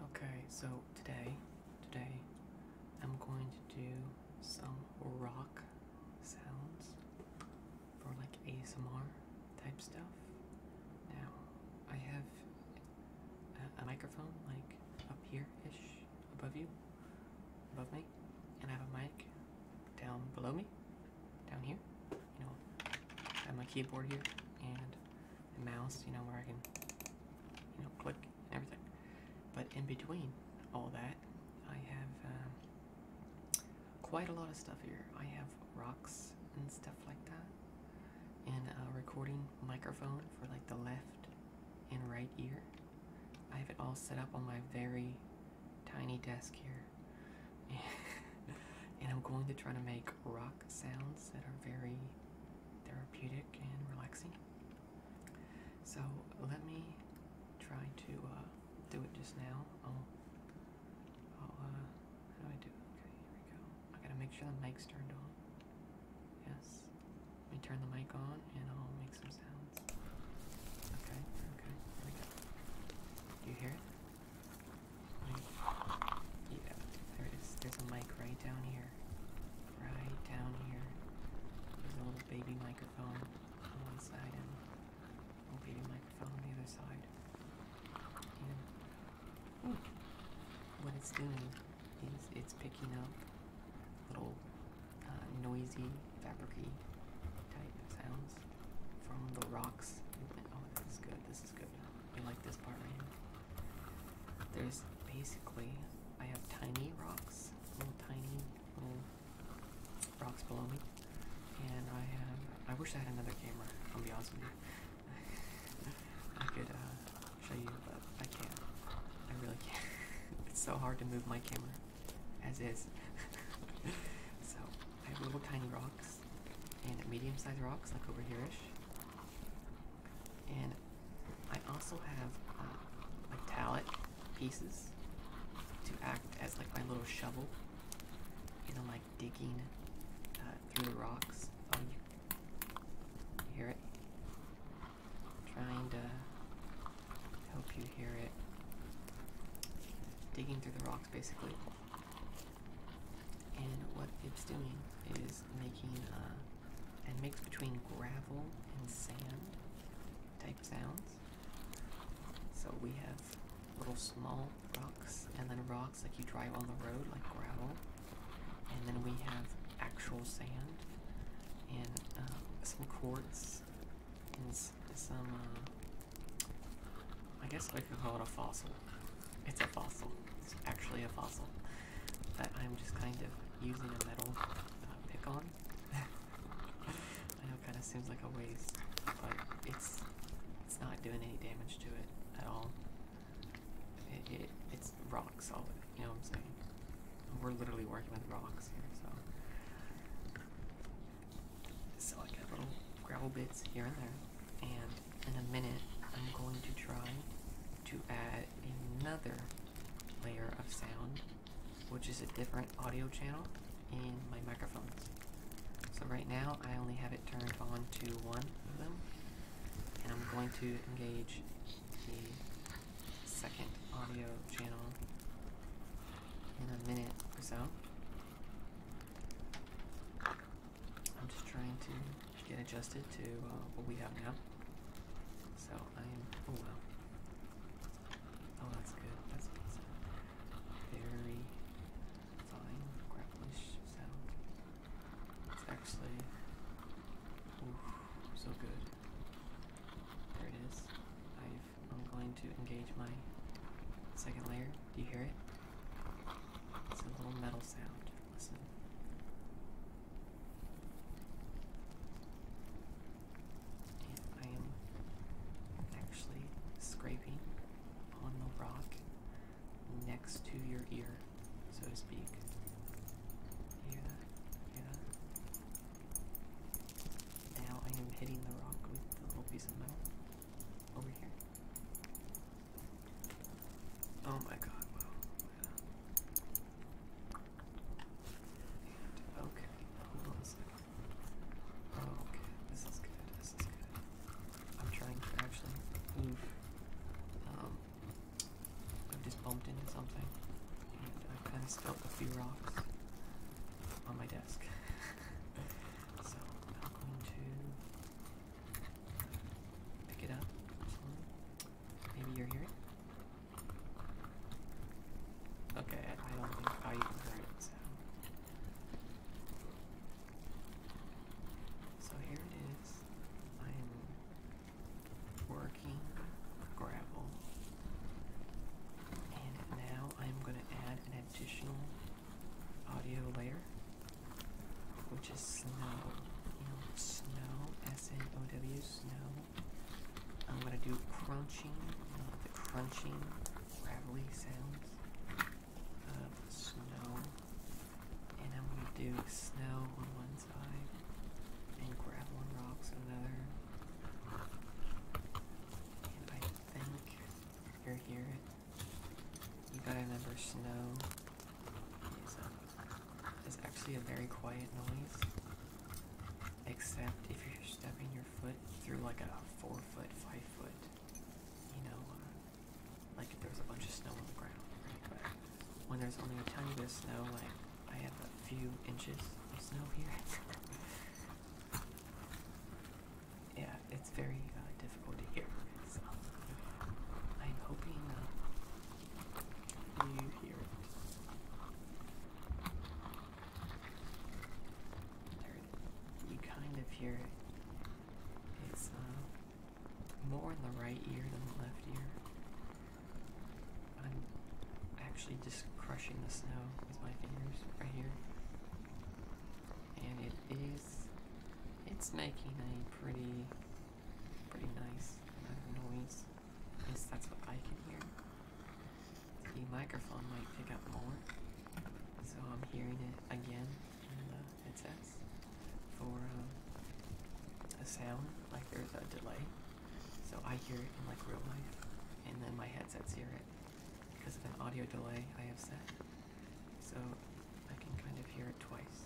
Okay, so today, today, I'm going to do some rock sounds for like ASMR type stuff. Now, I have a, microphone like up here-ish above you, above me, and I have a mic down below me, down here, you know, I have my keyboard here and the mouse, you know, where I can, you know, click and everything. But in between all that, I have um, quite a lot of stuff here. I have rocks and stuff like that, and a recording microphone for like the left and right ear. I have it all set up on my very tiny desk here. and I'm going to try to make rock sounds that are very therapeutic and relaxing. So let me try to uh, do it just now. i uh, how do I do Okay, here we go. I gotta make sure the mic's turned on. Yes. Let me turn the mic on and I'll make some sounds. Okay, okay, here we go. you hear it? There's a mic right down here. Right down here. There's a little baby microphone on one side and a baby microphone on the other side. what it's doing is it's picking up little uh, noisy, fabricy type sounds from the rocks. Oh, this is good. This is good. You like this part right here? There's basically, I have tiny rocks, little tiny little rocks below me, and I have, I wish I had another camera, I'll be honest with you. I could uh, show you, but I can't. I really can't. it's so hard to move my camera, as is. so, I have little tiny rocks, and medium-sized rocks, like over here-ish, and I also have uh, metallic pieces to act as like my little shovel, you know, like digging uh, through the rocks. Oh, you hear it? Trying to help you hear it. Digging through the rocks, basically. And what it's doing is making uh, a mix between gravel and sand type sounds. So we have little small rocks and then rocks like you drive on the road, like gravel. And then we have actual sand and uh, some quartz and some, uh, I guess I could call it a fossil it's a fossil. It's actually a fossil that I'm just kind of using a metal uh, pick on. I know it kind of seems like a waste, but it's it's not doing any damage to it at all. It, it it's rock solid. You know what I'm saying? We're literally working with rocks here, so. So I got little gravel bits here and there, and in a minute, I'm going to try to add another layer of sound, which is a different audio channel in my microphones. So right now, I only have it turned on to one of them, and I'm going to engage the second audio channel in a minute or so. I'm just trying to get adjusted to uh, what we have now. So I am. Oh well. Oh, that's good. That's awesome. Very fine grappleish sound. It's actually. so good. There its I've, I'm going to engage my second layer. Do you hear it? It's a little metal sound. Listen. I am actually scraping on the rock next to your ear, so to speak. hear that? hear that? Now I am hitting the rock with the little piece of metal over here. Oh my god, okay, okay, this is good, this is good. I'm trying to actually move. Um, I just bumped into something, I kind of spilt a few rocks on my desk. so, I'm going to Pick it up. Maybe you're hearing Okay, I don't think I oh, you can hear it, so. So here it is. I am working gravel. And now I'm going to add an additional audio layer, which is snow. snow, S N O W, snow. I'm gonna do crunching, the crunching, gravelly sounds of snow, and I'm gonna do snow on one side and gravel rocks on another. And I think you hear it. You gotta remember snow is, actually a very quiet noise, except if you're stepping your foot through like a four foot, five foot, you know, uh, like if there a bunch of snow on the ground, when there's only a tiny bit of snow, like I have a few inches of snow here. yeah, it's very uh, difficult to hear. So I'm hoping uh, you hear it. you kind of hear it. It's uh, more in the right ear than the left ear. I'm actually just crushing the snow with my fingers right here and it is it's making a pretty pretty nice noise. At least that's what I can hear. The microphone might pick up more. So I'm hearing it again in the headsets for a um, sound, like there's a delay. So I hear it in like real life, and then my headsets hear it because of an audio delay I have set so I can kind of hear it twice.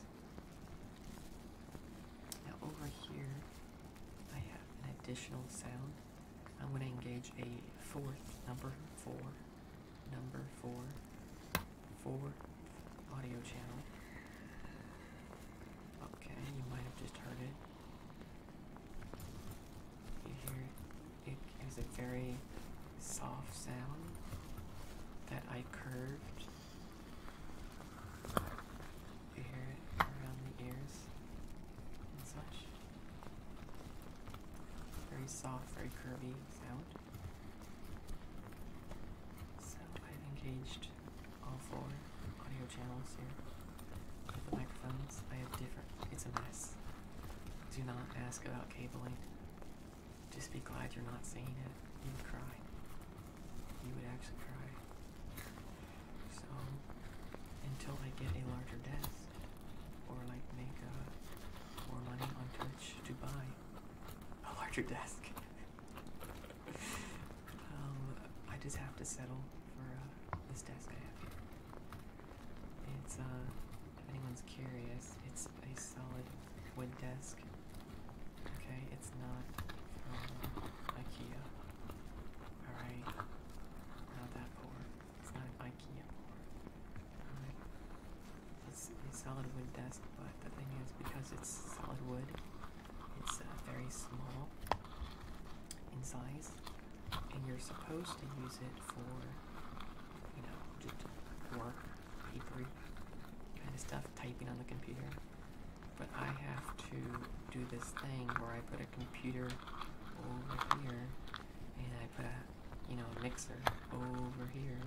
Now over here I have an additional sound. I'm going to engage a fourth number four, number four, four audio channel. Okay, you might have just heard it. You hear it it is a very soft sound that I curved. You hear it around the ears and such. Very soft, very curvy sound. So I've engaged all four audio channels here with the microphones. I have different, it's a mess. Do not ask about cabling. Just be glad you're not seeing it. You would cry. You would actually cry. So, until I get a larger desk, or like make uh, more money on Twitch to buy a larger desk, um, I just have to settle for uh, this desk I have here. It's a. Uh, if anyone's curious, it's a solid wood desk. Okay, it's not from IKEA. Alright? Not that poor. It's not IKEA It's a solid wood desk, but the thing is, because it's solid wood, it's uh, very small in size, and you're supposed to use it for you know, just work, papery kind of stuff, typing on the computer. But I have to do this thing where I put a computer over here, and I put a, you know, a mixer over here,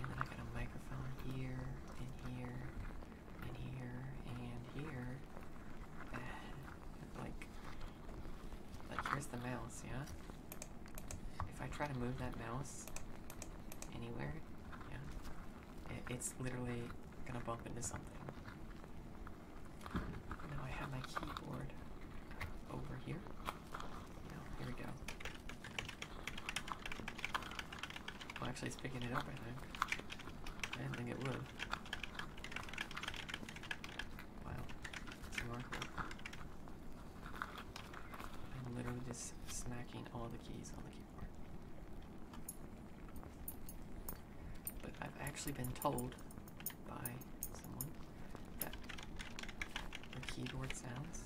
and then I got a microphone here, and here, and here, and here. And, like, but here's the mouse, yeah? If I try to move that mouse anywhere, yeah, it's literally gonna bump into something. Now I have my keyboard over here. here we go. Well, actually, it's picking it up, I think. I didn't think it would. Wow. I'm literally just smacking all the keys on the keyboard. But I've actually been told by someone that the keyboard sounds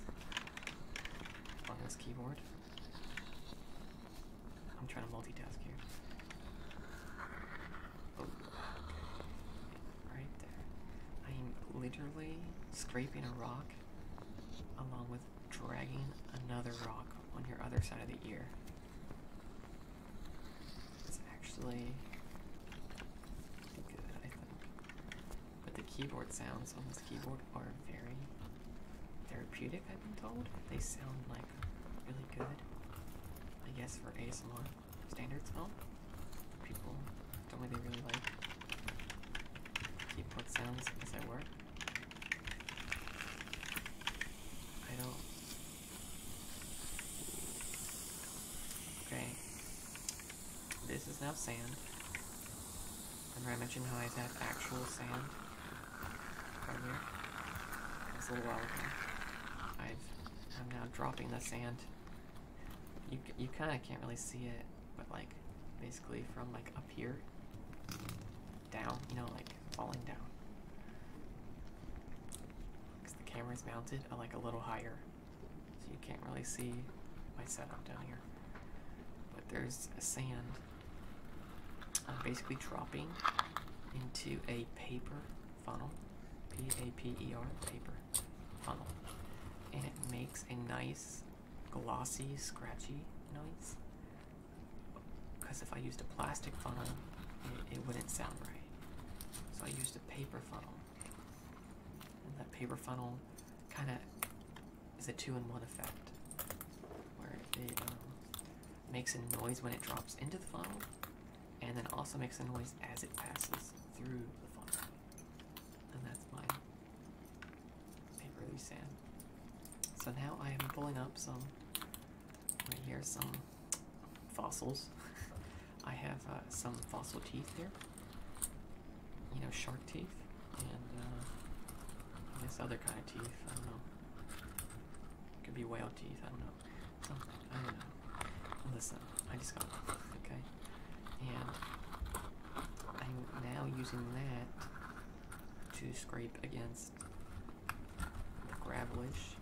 on this keyboard. I'm trying to multitask here. Right there. I'm literally scraping a rock along with dragging another rock on your other side of the ear. It's actually good, I think. But the keyboard sounds on this keyboard are very therapeutic, I've been told. They sound like really good. I guess for ASMR standards help people don't they really like keep what sounds as I work. I don't. Okay. This is now sand. Remember I mentioned how I've actual sand earlier? That was a little while ago. I've, I'm now dropping the sand you, you kind of can't really see it, but like basically from like up here down, you know, like falling down. Because the camera is mounted uh, like a little higher, so you can't really see my setup down here. But there's sand. I'm basically dropping into a paper funnel, P-A-P-E-R, paper, funnel. And it makes a nice, glossy, scratchy noise. Because if I used a plastic funnel, it, wouldn't sound right. So I used a paper funnel. And that paper funnel kind of is a two-in-one effect. Where it um, makes a noise when it drops into the funnel, and then also makes a noise as it passes through the funnel. And that's my paperly sand. So now I am pulling up some, right here, some fossils. I have uh, some fossil teeth here, you know, shark teeth, and uh, this other kind of teeth, I don't know. Could be whale teeth, I don't know something. I don't know. Listen, I just got one. Okay, and I'm now using that to scrape against the gravelage,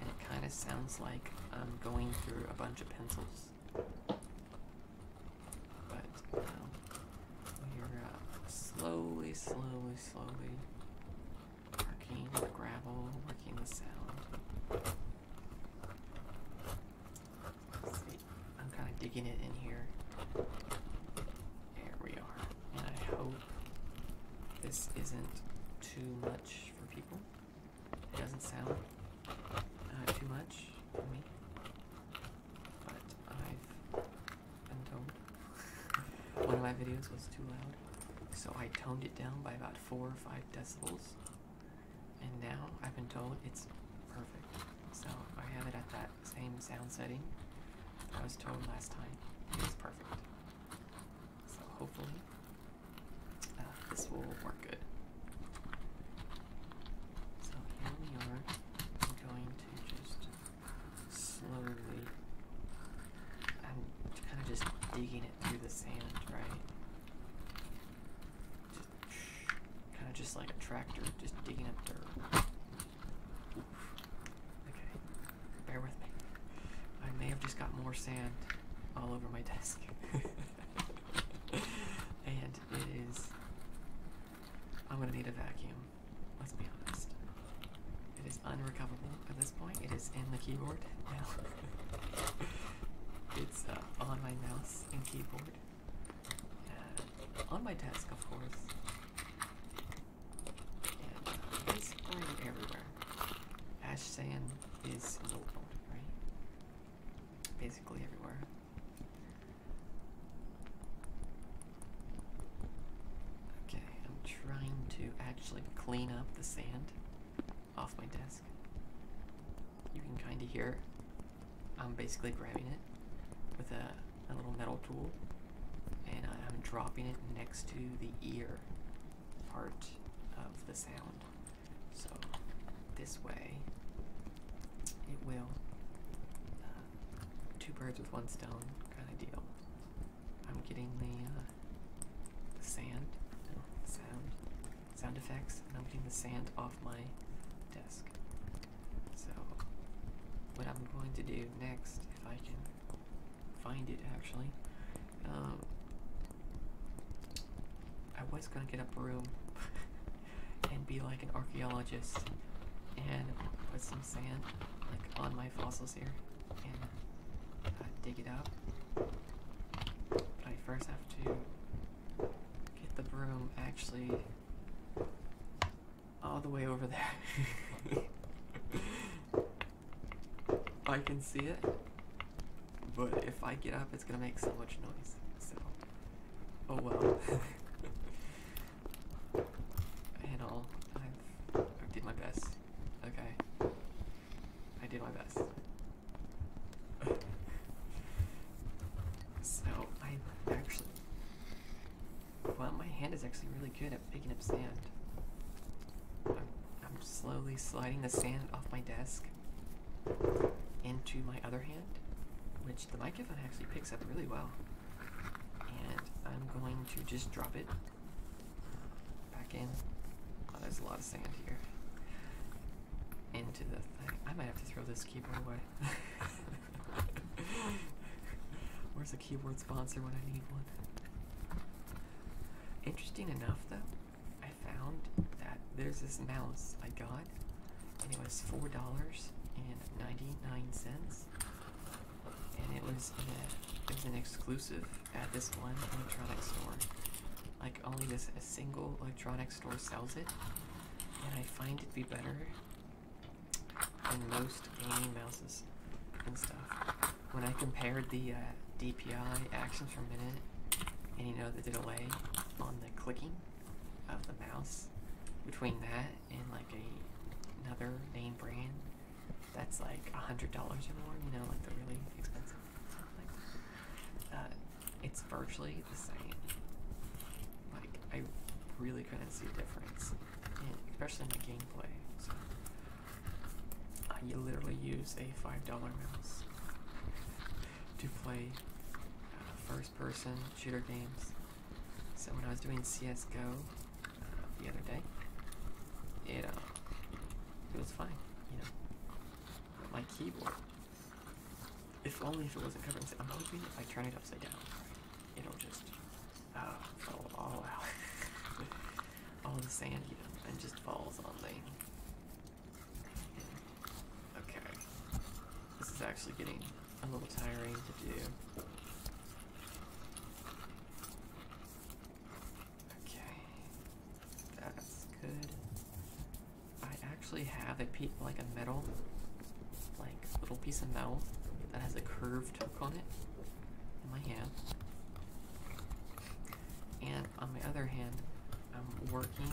and it kind of sounds like I'm going through a bunch of pencils. But um, we're uh, slowly, slowly, slowly Arcane, gravel, working the sound. I'm kind of digging it in here. There we are. And I hope this isn't too much for people. It doesn't sound uh, too much for me. But I've been one of my videos was too loud. So I toned it down by about 4 or 5 decibels. And now I've been told it's perfect. So I have it at that same sound setting I was told last time. it was perfect. So hopefully uh, this will work good. So here we are. I'm going to just slowly, I'm kind of just digging it through the sand, right? Kind of just like a tractor, just digging up dirt. Okay, bear with me. I may have just got more sand all over my desk. and it is. I'm gonna need a vacuum. Let's be honest. It is unrecoverable at this point. It is in the keyboard now it's uh, on my mouse and keyboard. Uh, on my desk, of course. And uh, it's everywhere. Ash sand is local, right? Basically everywhere. Okay, I'm trying to actually clean up the sand off my desk. You can kind of hear I'm basically grabbing it with a, a little metal tool and I'm dropping it next to the ear part of the sound. So this way it will uh, two birds with one stone kind of deal. I'm getting uh, the, sand, sound, sound effects, and I'm getting the sand off my desk. So, what I'm going to do next, if I can find it actually, um, I was gonna get up a room and be like an archaeologist and put some sand like on my fossils here and uh, dig it up but I first have to get the broom actually all the way over there. I can see it, but if I get up, it's gonna make so much noise. So, oh well. and all, I've, I did my best. Okay. I did my best. So I'm actually, well, my hand is actually really good at picking up sand. I'm, I'm slowly sliding the sand off my desk into my other hand, which the microphone actually picks up really well. And I'm going to just drop it Back in. Oh, there's a lot of sand here. Into the thing. I might have to throw this keyboard away. Where's a keyboard sponsor when I need one? Interesting enough, though, I found that there's this mouse I got, and it was four dollars and ninety nine cents, and it was it was an exclusive at this one electronic store. Like only this a single electronic store sells it, and I find it be better than most gaming mouses and stuff. When I compared the uh, DPI actions per minute, and you know the delay on the clicking of the mouse between that and like a another name brand that's like a hundred dollars or more, you know, like the really expensive uh, it's virtually the same. Like I really couldn't see a difference. especially in the gameplay. So uh, you literally use a five dollar mouse to play uh, first person shooter games. So when I was doing CS: GO the other day, it uh, it was fine, you know. But my keyboard, if only if it wasn't covering. I'm hoping if I turn it upside down, it'll just uh, all out, all the sand, and just falls on the. Okay, this is actually getting a little tiring to do. Okay, that's good. I actually have a piece, like a metal, like little piece of metal that has a curved hook on it in my hand. And on my other hand, I'm working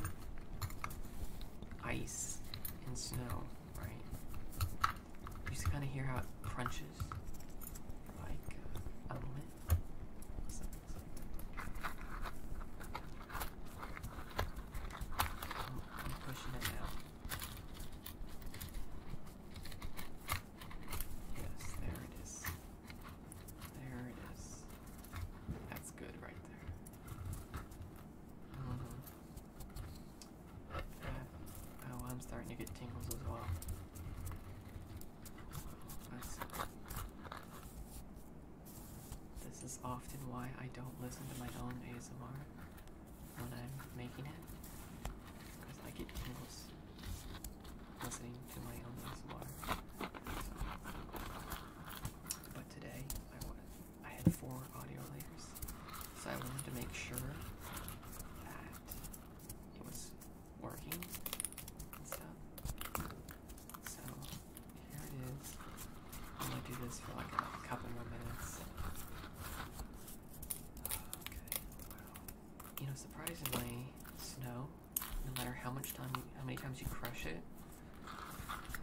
ice and snow, right? You can kind of hear how it crunches like uh, oh, I'm pushing it now. Yes, there it is. There it is. That's good right there. Mm Oh, I'm starting to get tingles as well this is often why I don't listen to my own ASMR when I'm making it, because I get tingles listening to my own ASMR. But today I wanted, I had four audio layers, so I wanted to make sure that it was working and stuff. So here it is. I'm gonna do this for like a couple more minutes. You know, surprisingly, snow, no matter how much time, you, how many times you crush it,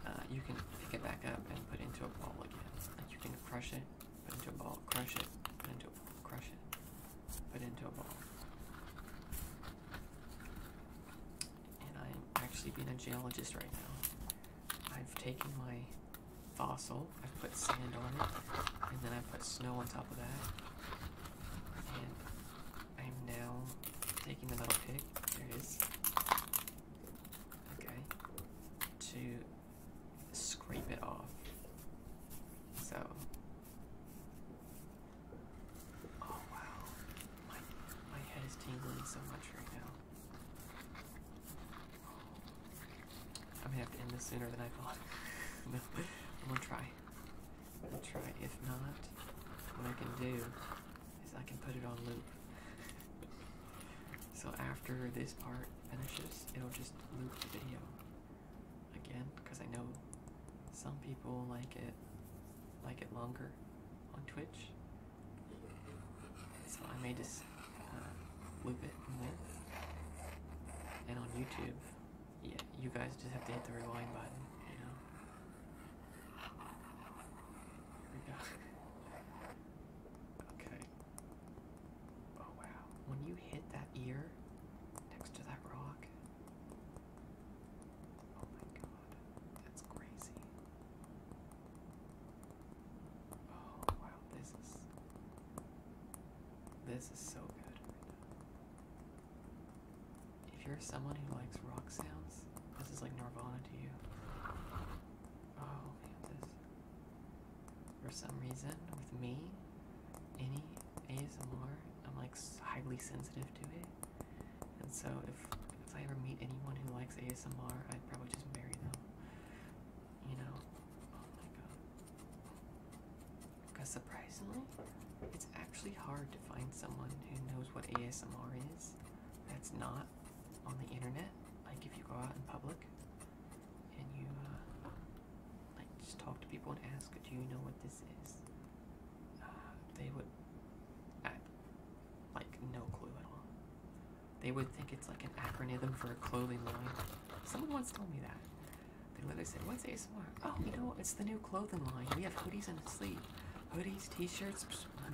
uh, you can pick it back up and put it into a ball again. Like you can crush it Put into a ball, crush it. Put into a ball, crush it. Put into a ball. And I'm actually being a geologist right now. I've taken my fossil, I've put sand on it, and then I put snow on top of that. And I'm now taking the metal pick. There it is. Okay. To scrape it off. So Oh wow, my my head is tingling so much right now. I'm gonna have to end this sooner than I thought. I'm gonna try. I'm gonna try. If not, what I can do is I can put it on loop. so after this part finishes, it'll just loop the video again because I know some people like it like it longer on Twitch. So I may just uh, whip it And on YouTube, yeah, you guys just have to hit the rewind button, you know. Here we go. okay. Oh wow. When you hit that ear next to that rock. Oh my god. That's crazy. Oh wow, this is this is so good If you're someone who likes rock sounds, this is like Nirvana to you. Oh man, this for some reason with me. Any ASMR, I'm like highly sensitive to it. And so if if I ever meet anyone who likes ASMR, I'd probably just marry them. You know? Oh my god. Because surprisingly, it's actually hard to find someone who knows what ASMR is that's not on the internet. Like if you go out in public, and you uh, like just talk to people and ask, do you know what this is? Uh, they would, I, like, no clue at all. They would think it's like an acronym for a clothing line. Someone once told me that. They literally said, what's ASMR? Oh, you know, it's the new clothing line. We have hoodies and a sleeve. Hoodies, t-shirts,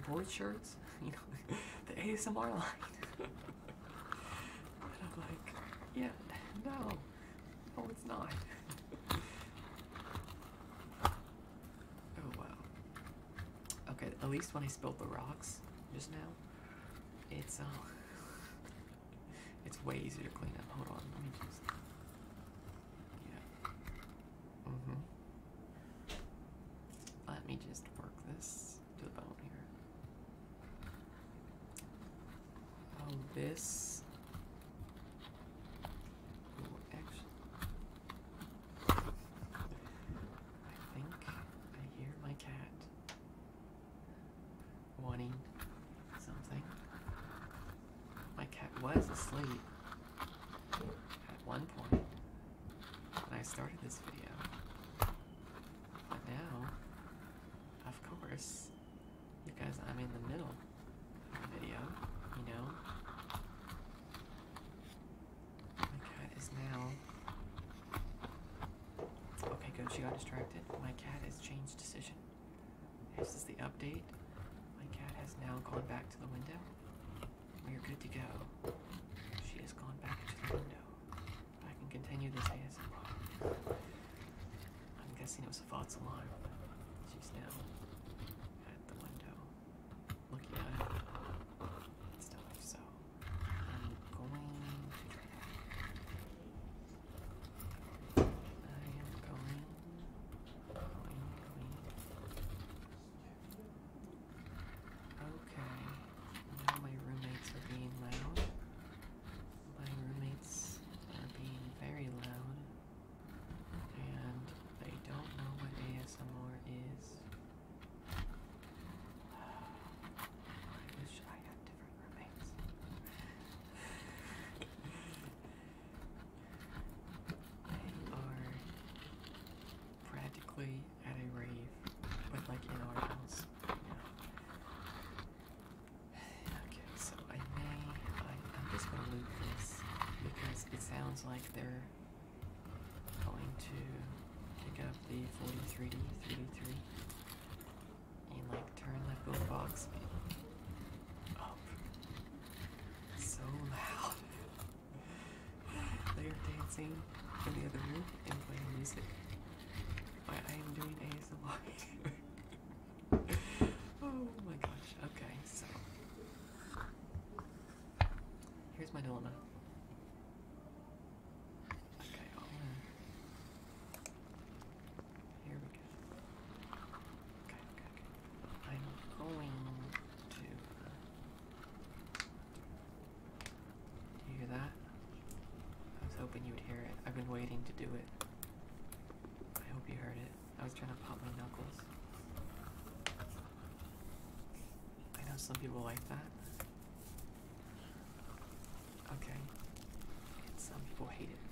board shirts, you know, the ASMR line. and I'm like, yeah, no, no, oh, it's not. oh wow. Okay, at least when I spilled the rocks just now, it's um, it's way easier to clean up. Hold on, let me just. Yeah. Mhm. let me just work this to the bone here. Oh, this. I think I hear my cat wanting something. My cat was asleep at one point when I started this video. But now of course, because I'm in the middle of the video, you know? My cat is now. Okay, good, she got distracted. My cat has changed decision. This is the update. My cat has now gone back to the window. We are good to go. She has gone back to the window. I can continue this ASMR. I'm guessing it was Vaught's alarm. She's now at the window looking at it and stuff, so I'm going I am going, going, going. Okay, All my roommates are being loud my roommates are being very loud and they don't know what ASMR is. I wish I had different roommates. they are practically at a rave, but like in our house. Okay, so I may, I, am just going to loop this because it sounds like they're going to pick up the 43D, 3D3 and like turn that boombox up so loud. they are dancing in the other room and playing music. I, I am doing a oh my gosh. Okay, so here's my dilemma. Okay, Here we go. I'm going to. Uh, do you hear that? I was hoping you would hear it. I've been waiting to do it. I hope you heard it. I was trying to pop my knuckles. I know some people like that. Okay. some people hate it.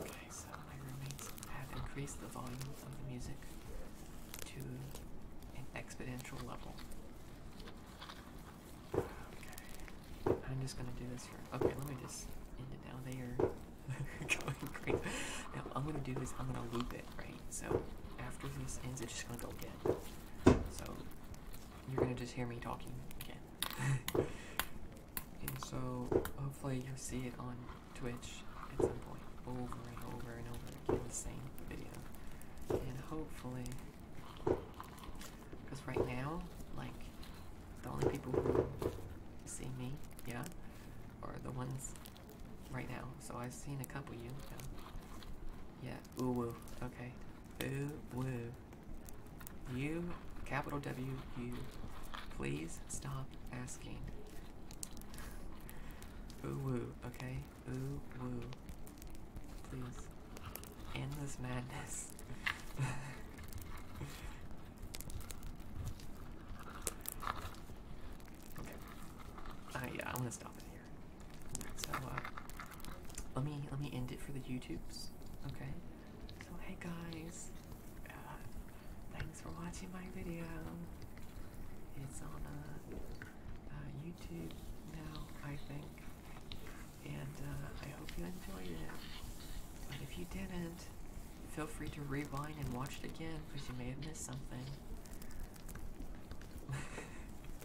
Okay, so my roommates have increased the volume of the music to an exponential level. Okay. I'm just gonna do this for okay, let me just end it now. They are going crazy. Now I'm gonna do is I'm gonna loop it, right? So after this ends it's just gonna go again. So you're gonna just hear me talking again. and so hopefully you'll see it on Twitch at some point. Over and over and over same video. And hopefully, because right now, like, the only people who see me, yeah, are the ones right now. So I've seen a couple of you. Yeah, ooh woo. Okay. Ooh woo. You, capital W, you, please stop asking. Ooh woo, okay? Ooh, woo. Please. End this madness. okay. Uh, yeah, i want to stop it here. So, uh, let me, let me end it for the YouTubes, okay? So, hey guys. Uh, thanks for watching my video. It's on, uh, uh, YouTube now, I think. And uh, I hope you enjoyed it. But if you didn't, feel free to rewind and watch it again because you may have missed something.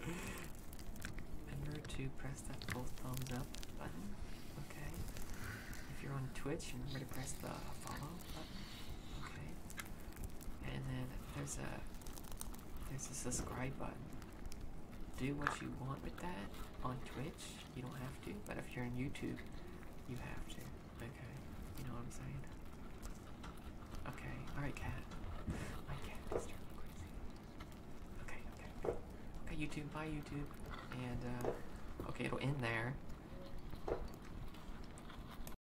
Remember to press that full thumbs up button, okay? If you're on Twitch, remember to press the follow button. And then there's a there's a subscribe button. Do what you want with that on Twitch. You don't have to, but if you're on YouTube, you have to. Okay, you know what I'm saying? Okay, all right, cat. My cat is turning crazy. Okay, okay, okay. YouTube, bye YouTube, and uh, okay, it'll end there.